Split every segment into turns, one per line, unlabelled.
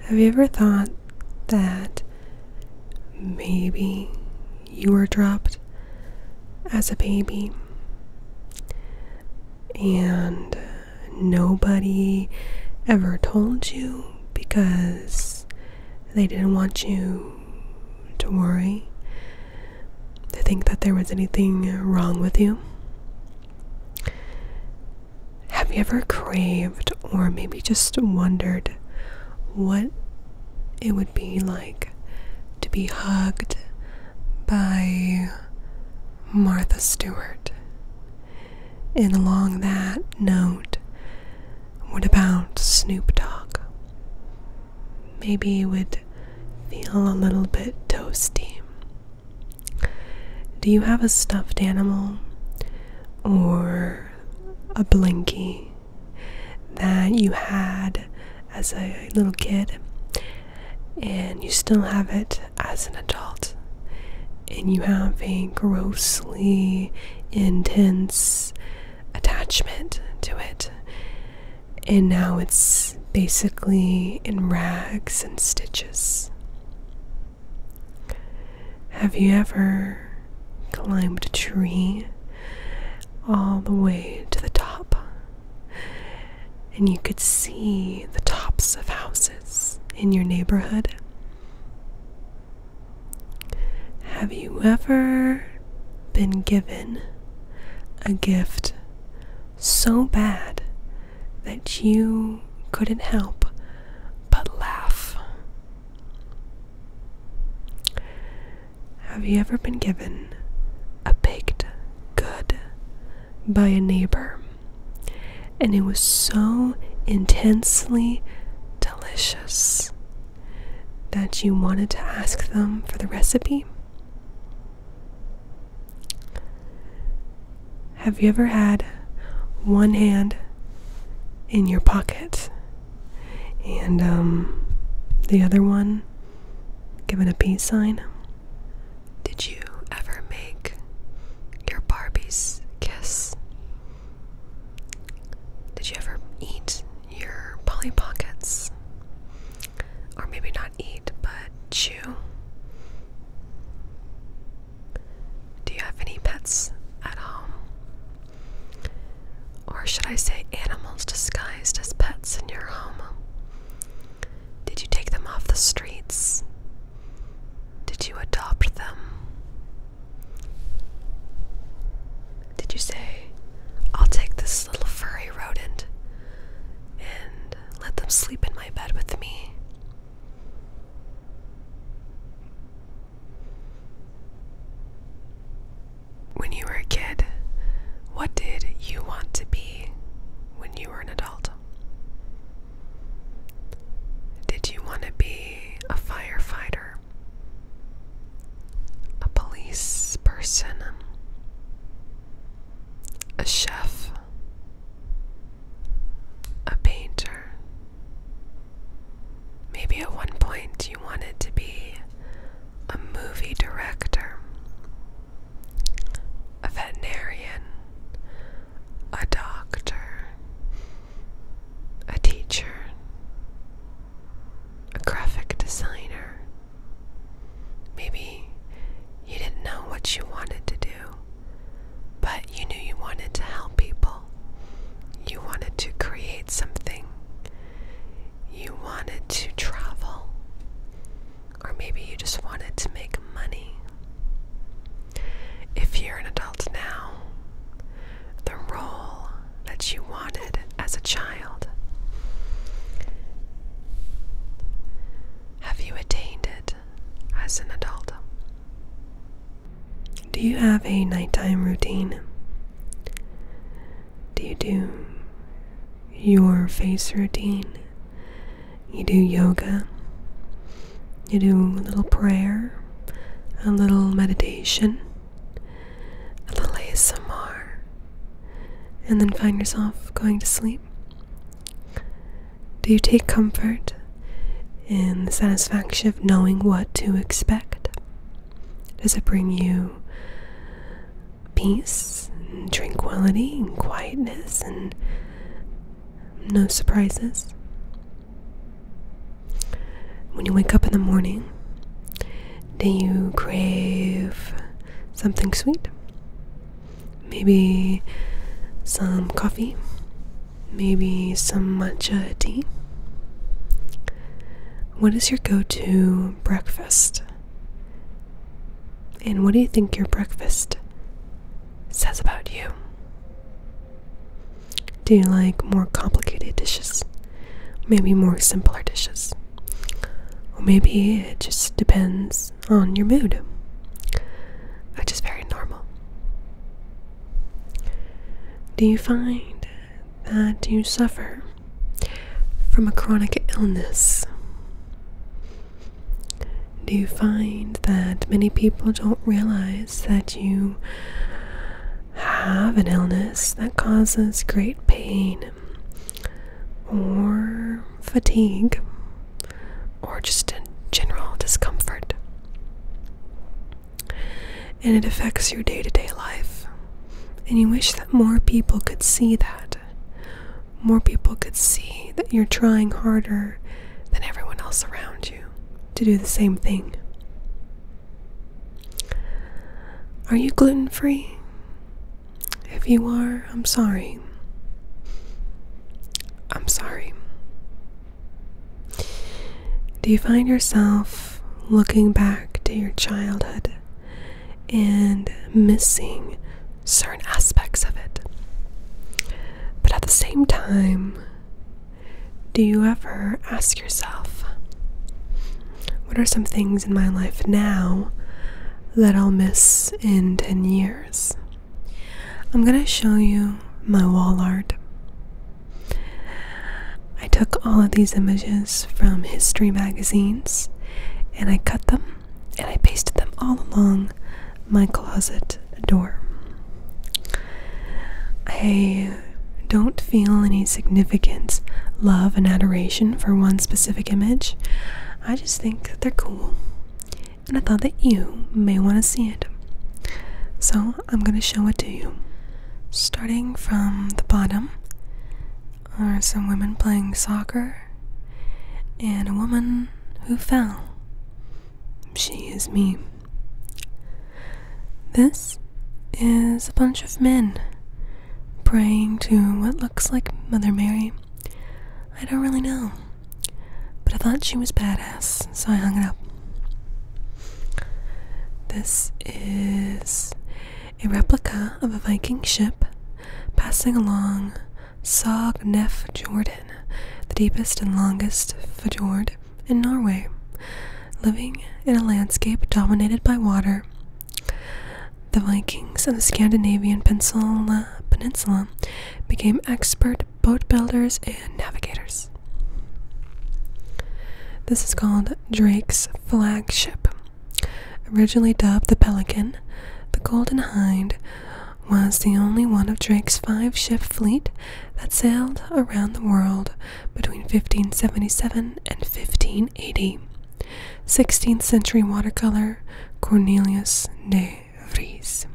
Have you ever thought that maybe you were dropped as a baby and nobody ever told you because they didn't want you to worry, to think that there was anything wrong with you? Have you ever craved or maybe just wondered what it would be like to be hugged by Martha Stewart? And along that note, what about Snoop Dogg? Maybe it would feel a little bit toasty. Do you have a stuffed animal or a blinky that you had as a little kid and you still have it as an adult? And you have a grossly intense attachment to it, and now it's basically in rags and stitches. Have you ever climbed a tree all the way to the top? And you could see the tops of houses in your neighborhood. Have you ever been given a gift so bad that you couldn't help but laugh. Have you ever been given a baked good by a neighbor and it was so intensely delicious that you wanted to ask them for the recipe? Have you ever had one hand in your pocket and um, the other one given a peace sign? Did you ever make your Barbies kiss? Did you ever eat your Polly Pockets? Or maybe not eat, but chew? Do you have any pets at home? Or should I say animals disguised as pets in your home? Did you take them off the streets? Did you adopt them? Did you say, I'll take this little furry rodent and let them sleep in my bed with me? When you were a kid, what did you want to be when you were an adult? Did you want to be a firefighter, a police person, a chef, a painter. Maybe at one point you wanted to be a movie director, a veterinarian, a doctor, a teacher, a graphic designer. Maybe you didn't know what you wanted to do, but you knew you wanted to help people. You wanted to create something. You wanted to travel. Or maybe you just wanted to make money. If you're an adult now, the role that you wanted as a child, have you attained it? as an adult. Do you have a nighttime routine? Do you do your face routine? You do yoga? You do a little prayer? A little meditation? A little ASMR? And then find yourself going to sleep? Do you take comfort in the satisfaction of knowing what to expect? Does it bring you peace and tranquility and quietness and no surprises? When you wake up in the morning, do you crave something sweet? Maybe some coffee maybe some matcha tea. What is your go to breakfast? And what do you think your breakfast says about you? Do you like more complicated dishes? Maybe more simpler dishes? Or maybe it just depends on your mood, which is very normal. Do you find that you suffer from a chronic illness? Do you find that many people don't realize that you have an illness that causes great pain or fatigue or just a general discomfort. And it affects your day to day life. And you wish that more people could see that. More people could see that you're trying harder than everyone else around you to do the same thing. Are you gluten free? If you are, I'm sorry. I'm sorry. Do you find yourself looking back to your childhood and missing certain aspects of it? But at the same time, do you ever ask yourself, what are some things in my life now that I'll miss in 10 years? I'm gonna show you my wall art. I took all of these images from history magazines and I cut them and I pasted them all along my closet door. I don't feel any significance, love and adoration for one specific image. I just think that they're cool and I thought that you may want to see it. So I'm going to show it to you. Starting from the bottom are some women playing soccer and a woman who fell. She is me. This is a bunch of men praying to what looks like Mother Mary. I don't really know. But I thought she was badass, so I hung it up. This is a replica of a Viking ship passing along Sognefjord, the deepest and longest fjord in Norway, living in a landscape dominated by water. The Vikings of the Scandinavian Peninsula became expert boat builders and navigators. This is called Drake's flagship. Originally dubbed the Pelican, the Golden Hind was the only one of Drake's five ship fleet that sailed around the world between 1577 and 1580. 16th century watercolor Cornelius de Vries.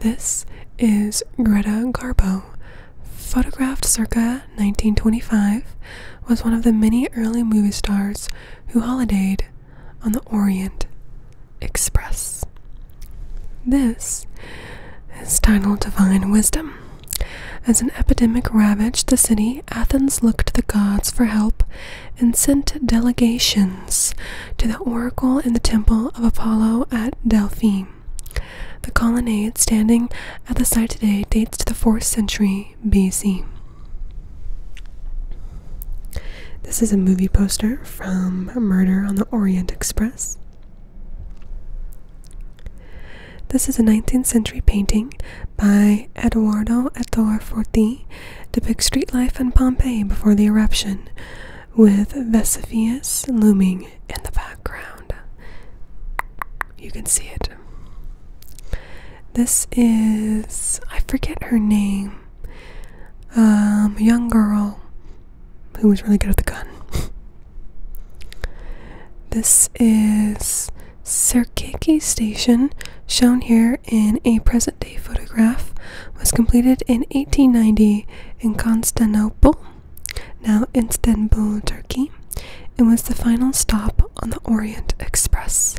This is Greta Garbo. Photographed circa 1925, was one of the many early movie stars who holidayed on the Orient Express. This is titled Divine Wisdom. As an epidemic ravaged the city, Athens looked to the gods for help and sent delegations to the oracle in the temple of Apollo at Delphi. The colonnade standing at the site today dates to the 4th century BC. This is a movie poster from Murder on the Orient Express. This is a 19th century painting by Eduardo Ettore Forti depict street life in Pompeii before the eruption, with Vesuvius looming in the background. You can see it. This is, I forget her name, um, young girl who was really good at the gun. this is Circaiki Station, shown here in a present present day photograph was completed in 1890 in Constantinople, now Istanbul, Turkey, and was the final stop on the Orient Express.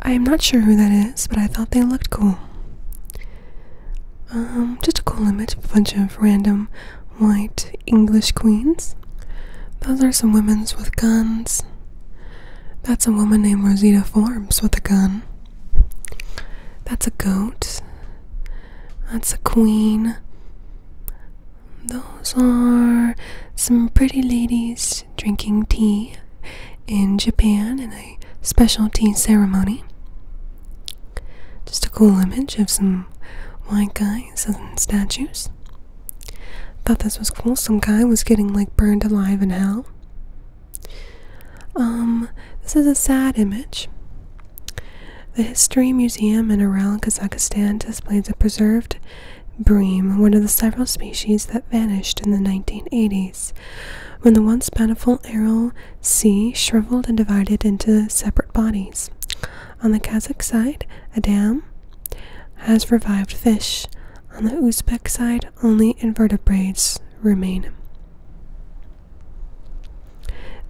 I am not sure who that is, but I thought they looked cool. Um, just a cool image of a bunch of random white English queens. Those are some women's with guns. That's a woman named Rosita Forbes with a gun. That's a goat. That's a queen. Those are some pretty ladies drinking tea in Japan in a special tea ceremony. Just a cool image of some white guys and statues. Thought this was cool. Some guy was getting like burned alive in hell. Um, this is a sad image. The History Museum in Ural, Kazakhstan displays a preserved bream, one of the several species that vanished in the 1980s, when the once bountiful Aral Sea shriveled and divided into separate bodies. On the Kazakh side, a dam has revived fish, on the Uzbek side, only invertebrates remain.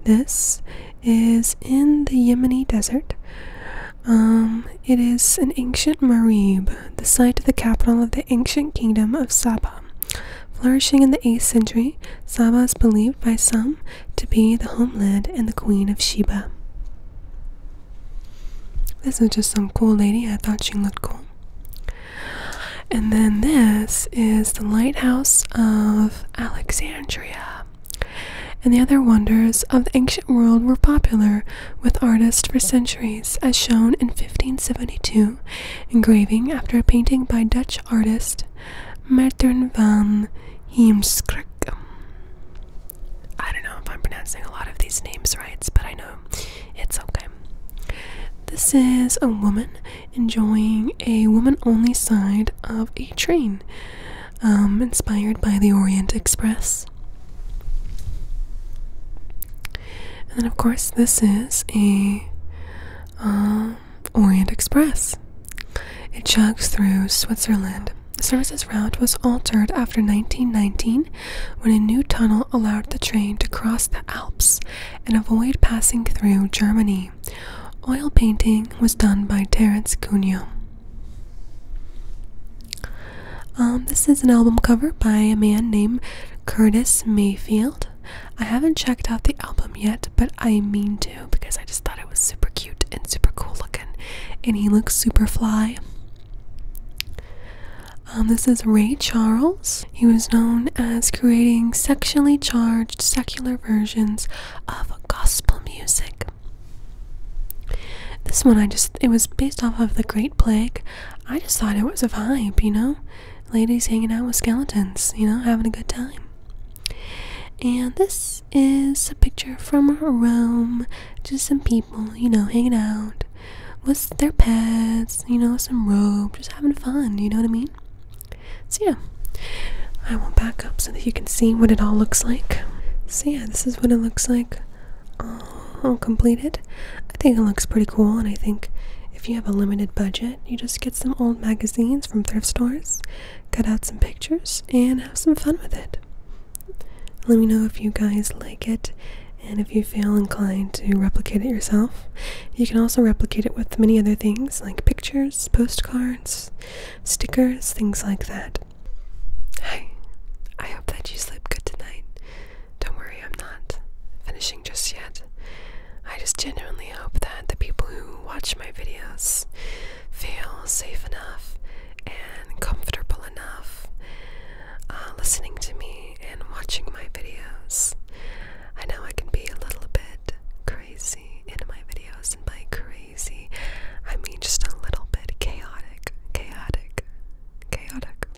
This is in the Yemeni desert. Um, it is an ancient Marib, the site of the capital of the ancient kingdom of Saba. Flourishing in the 8th century, Saba is believed by some to be the homeland and the queen of Sheba. This is just some cool lady. I thought she looked cool. And then this is the lighthouse of Alexandria. And the other wonders of the ancient world were popular with artists for centuries, as shown in 1572 engraving after a painting by Dutch artist Maarten van Heemskerk. I don't know if I'm pronouncing a lot of these names right, but I know it's okay. This is a woman enjoying a woman only side of a train, um, inspired by the Orient Express. And then, of course, this is a um, Orient Express. It chugs through Switzerland. The service's route was altered after 1919 when a new tunnel allowed the train to cross the Alps and avoid passing through Germany. Oil painting was done by Terence Cuneo. Um, this is an album cover by a man named Curtis Mayfield. I haven't checked out the album yet, but I mean to because I just thought it was super cute and super cool looking, and he looks super fly. Um, this is Ray Charles. He was known as creating sexually charged secular versions of gospel music. This one, I just, it was based off of The Great Plague. I just thought it was a vibe, you know? Ladies hanging out with skeletons, you know, having a good time. And this is a picture from Rome. Just some people well, you know, hanging out with their pets, you know, some rope, just having fun, you know what I mean? So, yeah, I will back up so that you can see what it all looks like. So, yeah, this is what it looks like all completed. I think it looks pretty cool, and I think if you have a limited budget, you just get some old magazines from thrift stores, cut out some pictures, and have some fun with it. Let me know if you guys like it and if you feel inclined to replicate it yourself. You can also replicate it with many other things like pictures, postcards, stickers, things like that. Hi, I hope that you sleep good tonight. Don't worry, I'm not finishing just yet. I just genuinely hope that the people who watch my videos feel safe enough and comfortable enough uh, listening to me and watching my videos. I know I can be a little bit crazy in my videos, and by crazy, I mean just a little bit chaotic, chaotic, chaotic.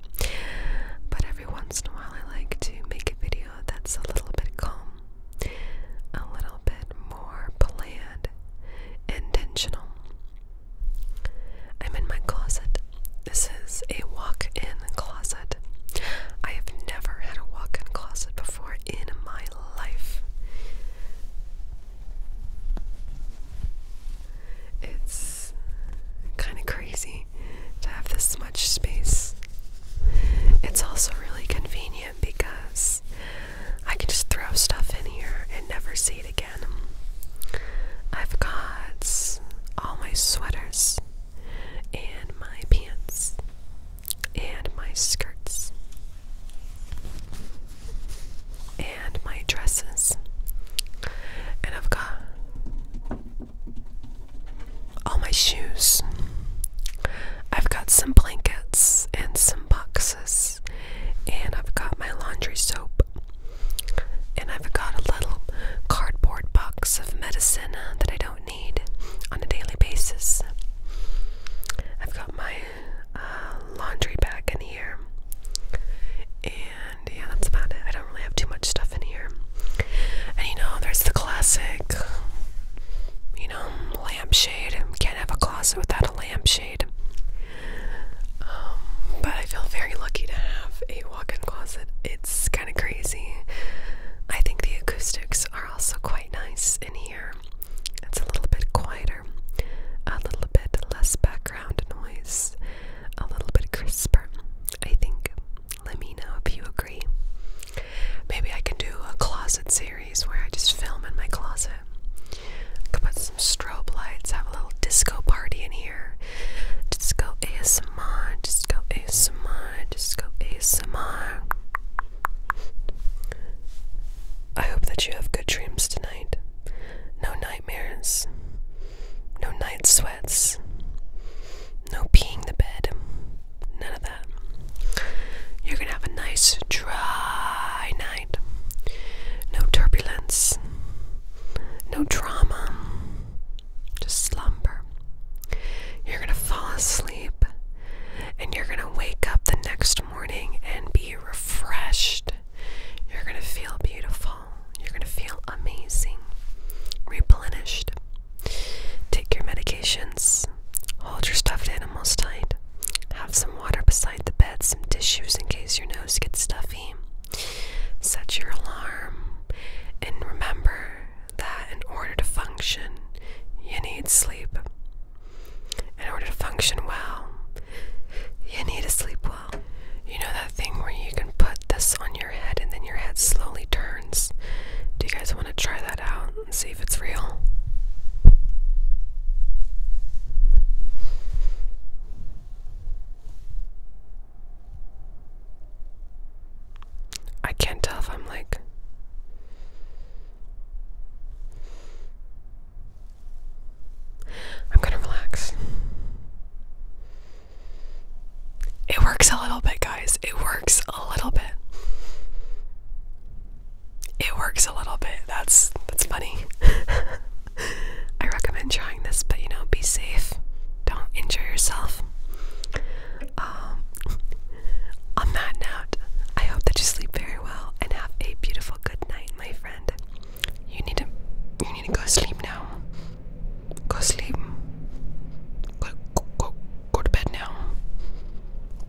But every once in a while, I like to make a video that's a little bit calm, a little bit more planned, intentional. I'm in my closet. This is a walk in closet. I have never had a walk in closet before in my life. It's kind of crazy to have this much space. It's also really convenient because I can just throw stuff in here and never see it again. I've got all my sweaters and my pants and my skirts and my dresses. And I've got all my shoes. I've got some blankets and some boxes. And I've got my laundry soap and I've got a little cardboard box of medicine that I don't need on a daily basis. I've got my uh, laundry bag in here. And yeah, that's about it. I don't really have too much stuff in here. And you know, there's the classic, you know, lampshade. Can't have a closet without a lampshade. Um, but I feel very lucky to have a walk-in closet. It's kind of crazy. I think the acoustics are also quite nice in here. It's a little bit quieter, a little bit less background noise, a little bit crisper. I think. Let me know if you agree. Maybe I can do a closet series where I just film in my closet could put some strobe lights, have a little disco party in here. Disco ASMR, disco ASMR, disco ASMR. I hope that you have good dreams tonight. No nightmares, no night sweats, no peeing the bed, none of that. You're gonna have a nice dry night. No turbulence, no drama, just slumber. You're going to fall asleep and you're going to wake up the next morning and be refreshed. You're going to feel beautiful. You're going to feel amazing, replenished. Take your medications, hold your stuffed animals tight, have some water beside the bed, some tissues in case your nose gets stuffy. Set your alarm and remember that in order to function, you need sleep. In order to function well, you need to sleep well. You know that thing where you can put this on your head and then your head slowly turns? Do you guys want to try that out and see if it's real? I can't tell if I'm like I'm gonna relax. It works a little bit, guys. It works a little bit. It works a little bit. That's that's funny. I recommend trying this, but you know, be safe. Don't injure yourself. Um, on that note, I hope that you sleep very well and have a beautiful good night, my friend. You need to, you need to go sleep now. Go sleep. go, go, go to bed now.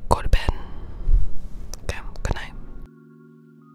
Go to bed. Okay, good night.